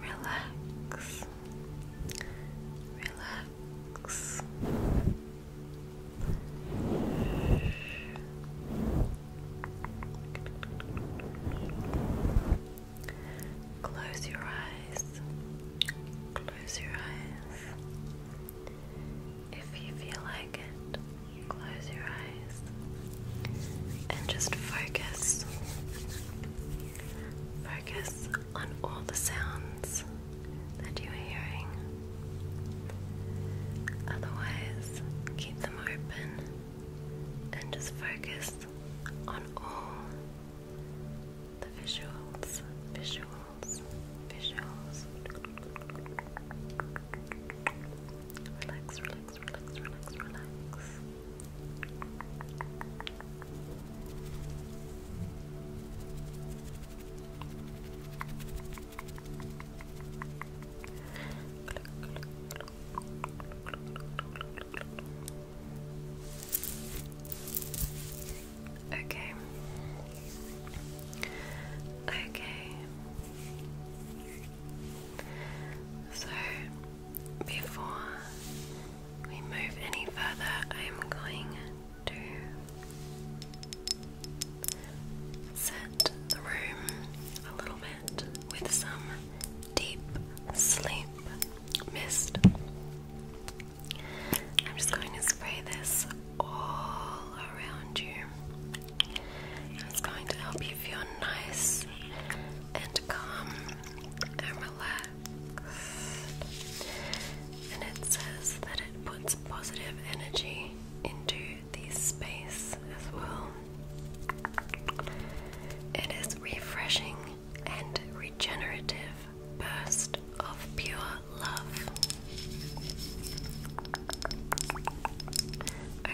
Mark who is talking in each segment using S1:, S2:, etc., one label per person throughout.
S1: Relax. Relax. Close your eyes. Close your eyes. If you feel like it, Close your eyes and just focus. Focus on all the sounds that you are hearing. Otherwise, keep them open and just focus on all the visuals, visuals, visuals. Relax, relax, relax, relax, relax. Okay. Okay. So, before we move any further, I am going to set the room a little bit with some deep sleep mist. I'm just going to spray this all around you. It's going to help you feel nice and calm and relaxed. And it says that it puts positive energy into the space as well. It is refreshing and regenerative burst of pure love.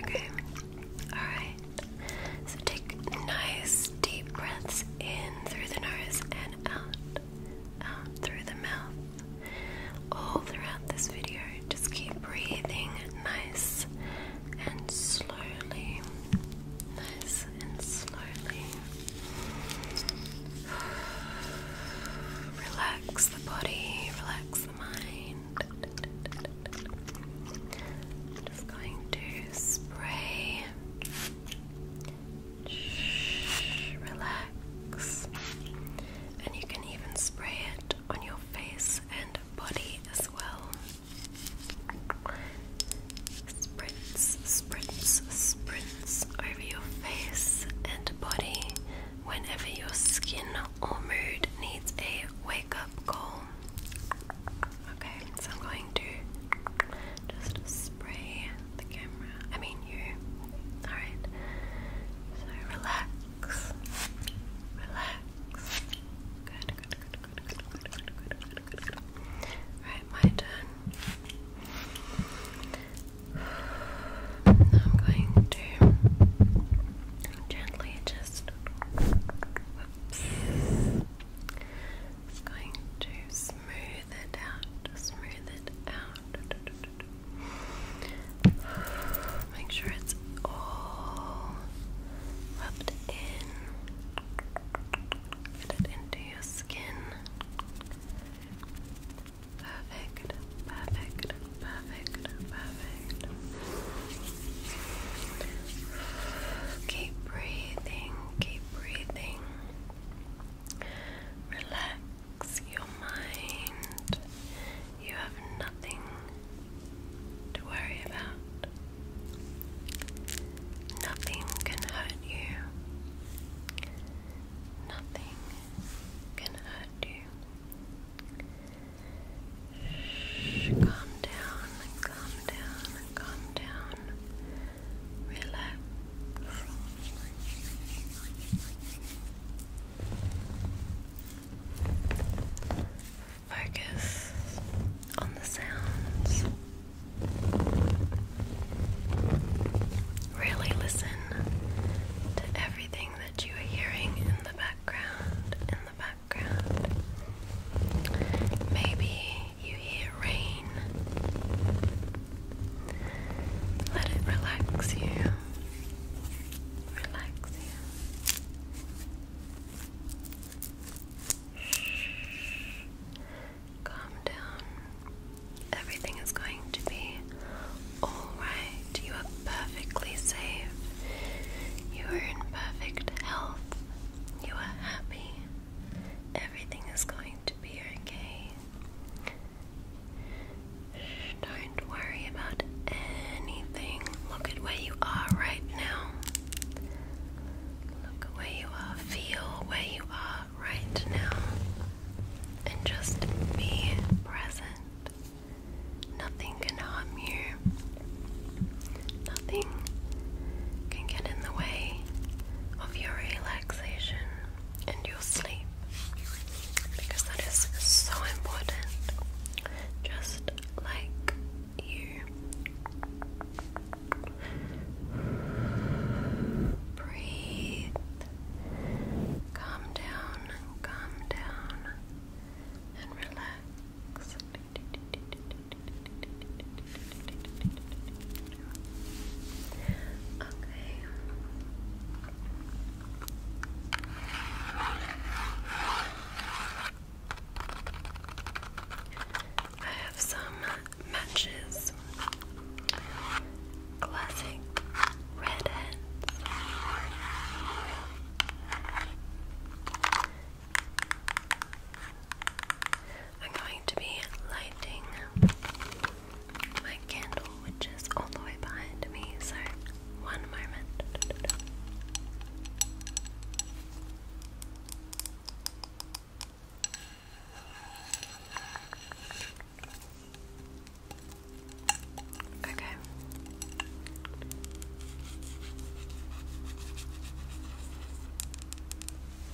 S1: Okay, alright. So take nice deep breaths in through the nose and out, out through the mouth. All throughout this video, just keep breathing nice and slowly. Nice and slowly. Relax the body, relax just going to spray. relax. And you can even spray it on your face and body as well. Spritz, spritz, spritz over your face and body whenever your skin or mood needs a wake up call. Okay, so I'm going to just spray the camera. I mean, you. Alright. So relax. Relax. Good, good, good, good, good, good, good, good, good, my turn. I'm going to gently just going to smooth it out, smooth it out. Make sure it's all rubbed in. Get it into your skin. Perfect, perfect, perfect, perfect. Keep breathing, keep breathing. Relax your mind. You have nothing to worry about. Nothing can hurt you. Nothing can hurt you. Shh, calm down, calm down, calm down. Relax. Focus on the sounds. Really listen to everything that you are hearing in the background, in the background. Maybe you hear rain. Let it relax you. Relax you. Shh. Calm down. Everything is going to be alright. You are perfectly safe. You are in perfect health. You are happy. Everything is going to be okay. Don't worry about anything. Look at where you are right now. Look where you are. Feel where you are right now. And just be present. Nothing can harm you. Nothing can get in the way of your relaxation and your sleep because that is so important, just like you. Breathe Calm down, calm down, and relax. Okay. I have some matches classic red ends. I'm going to be lighting my candle, which is all the way behind me, so one moment. Okay.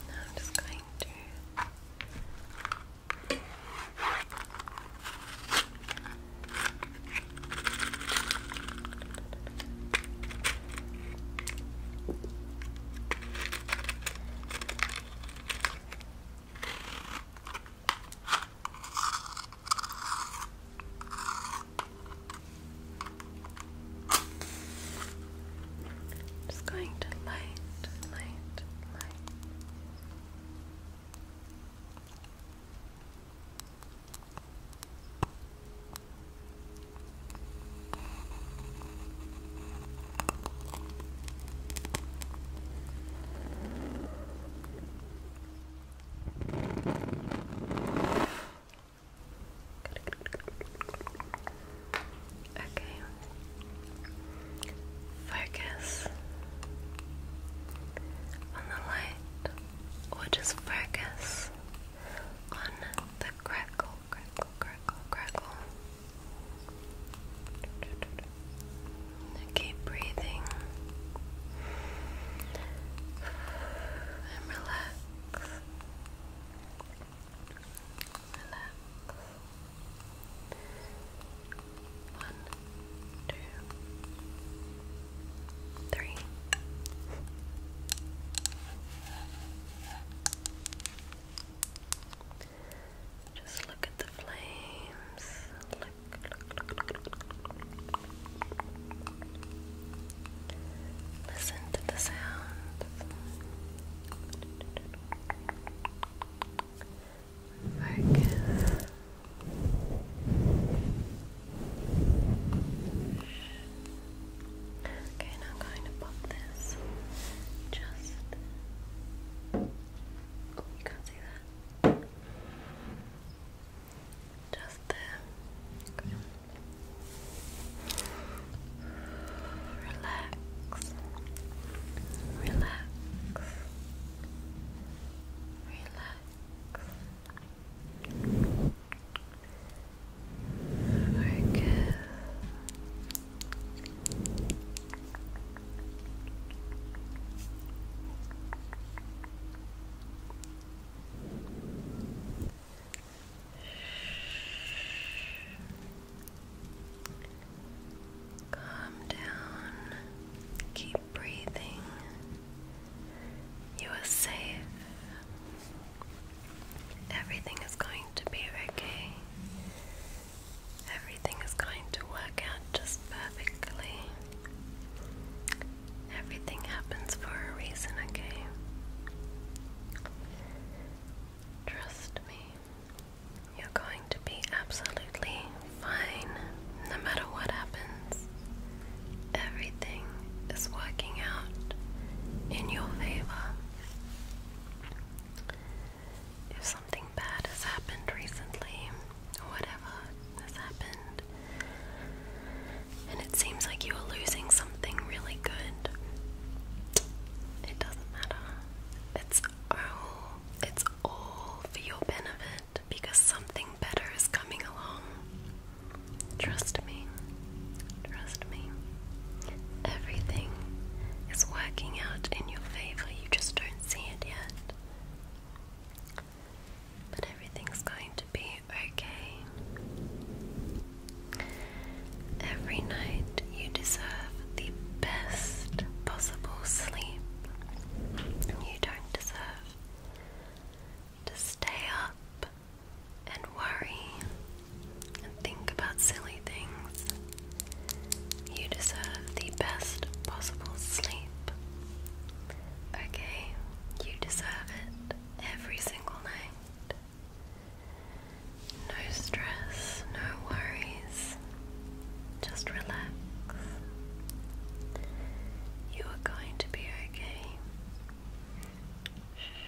S1: Now I'm just going to. Just going to light, light, light. Okay. Focus on the light, or just focus on the crackle, crackle, crackle, crackle. Keep breathing and relax. Relax. One, two, three. Just look at the flames. Listen to the sound. Focus. Okay, now I'm going to pop this. Just. Oh, you can't see that. Just there. Relax. Relax. Relax. Focus. Calm down. Keep breathing. You are safe. Everything is going to be okay. Everything is going to work out just perfectly. Everything happens for a reason, okay? Trust me, you're going to be absolutely fine no matter what happens. Everything is working out in your favor if something bad has happened recently, whatever has happened, and it seems like you are losing something really good, it doesn't matter. It's all, it's all for your benefit because something better is coming along. Trust me. Trust me. Everything is working out in your favor. You just don't see it yet. But everything's going to be okay. Every night you deserve the best possible sleep. You don't deserve to stay up and worry and think about silly things. You deserve the best possible sleep. Okay? You deserve it every single night. No stress, no worries. Just relax. You are going to be okay. Shh.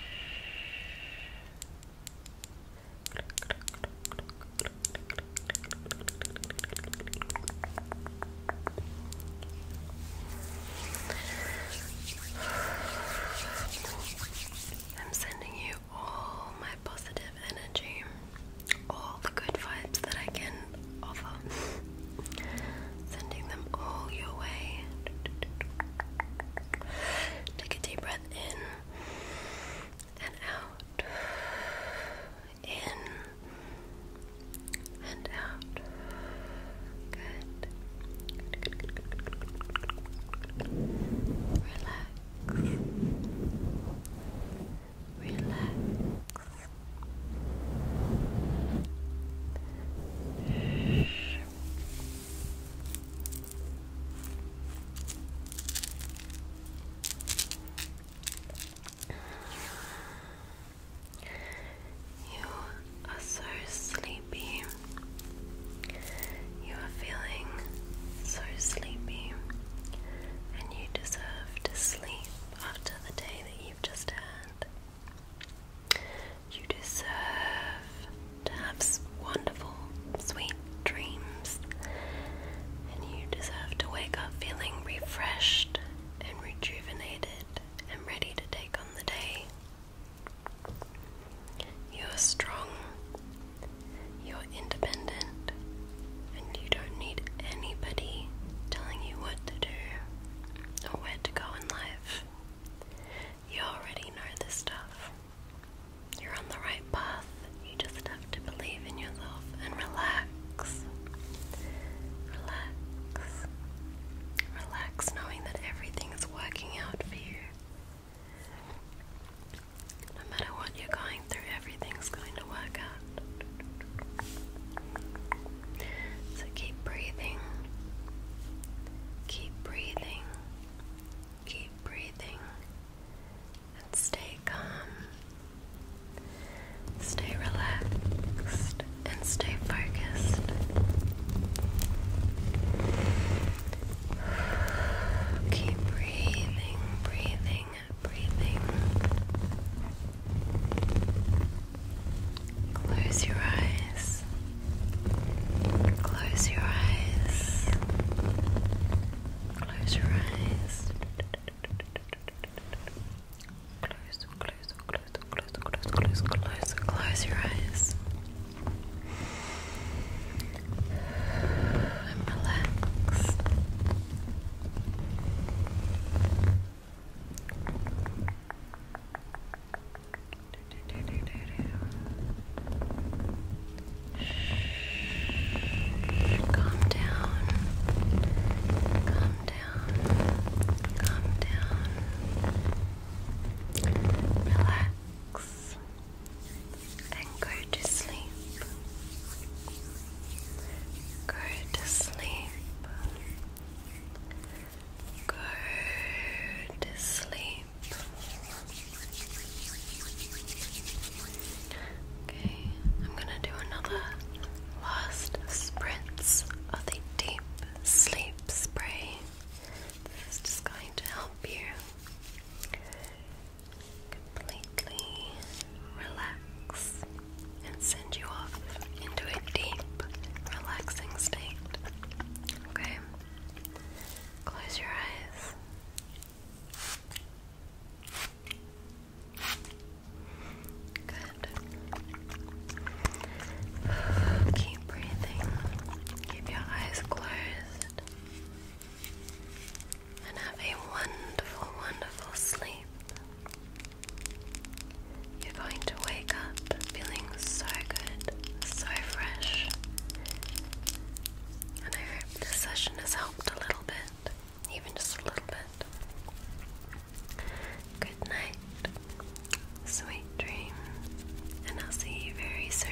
S1: I'm sending you all my positive energy, all the good vibes that I can offer, sending them all your way. Take a deep breath in and out in and out. Good. Relax. Relax. You are so sleepy. You are feeling so sleepy, and you deserve to sleep after the day that you've just had. You deserve to have wonderful sweet dreams. And you deserve to wake up feeling refreshed and rejuvenated and ready to take on the day. You're strong, you're independent, and you don't need anybody telling you what to do or where to go in life. You already know this stuff. You're on the right path. You just have to believe in yourself and relax. Relax. Relax, knowing that everything is working out for you. No matter what you're going through, everything's going to work out. So keep breathing. Keep breathing. Keep breathing and stay calm. Stay relaxed and stay focused. Keep breathing, breathing, breathing. Close your eyes. Close your eyes. Close your eyes. Close, close, close, close, close, close, close, close your eyes. And relax. Shh. Calm down. Calm down. Calm down. Relax and go to sleep. Go to sleep. Go to sleep. Okay, I'm gonna do another last sprint's of the deep sleep spray. This is just going to help you completely relax and send you off into a deep, relaxing state. Okay, close your eyes. Good. Keep breathing. Keep your eyes closed. And have a wonderful, wonderful sleep. You're going to wake up feeling so good, so fresh this session has helped a little bit, even just a little bit. Good night, sweet dreams, and I'll see you very soon.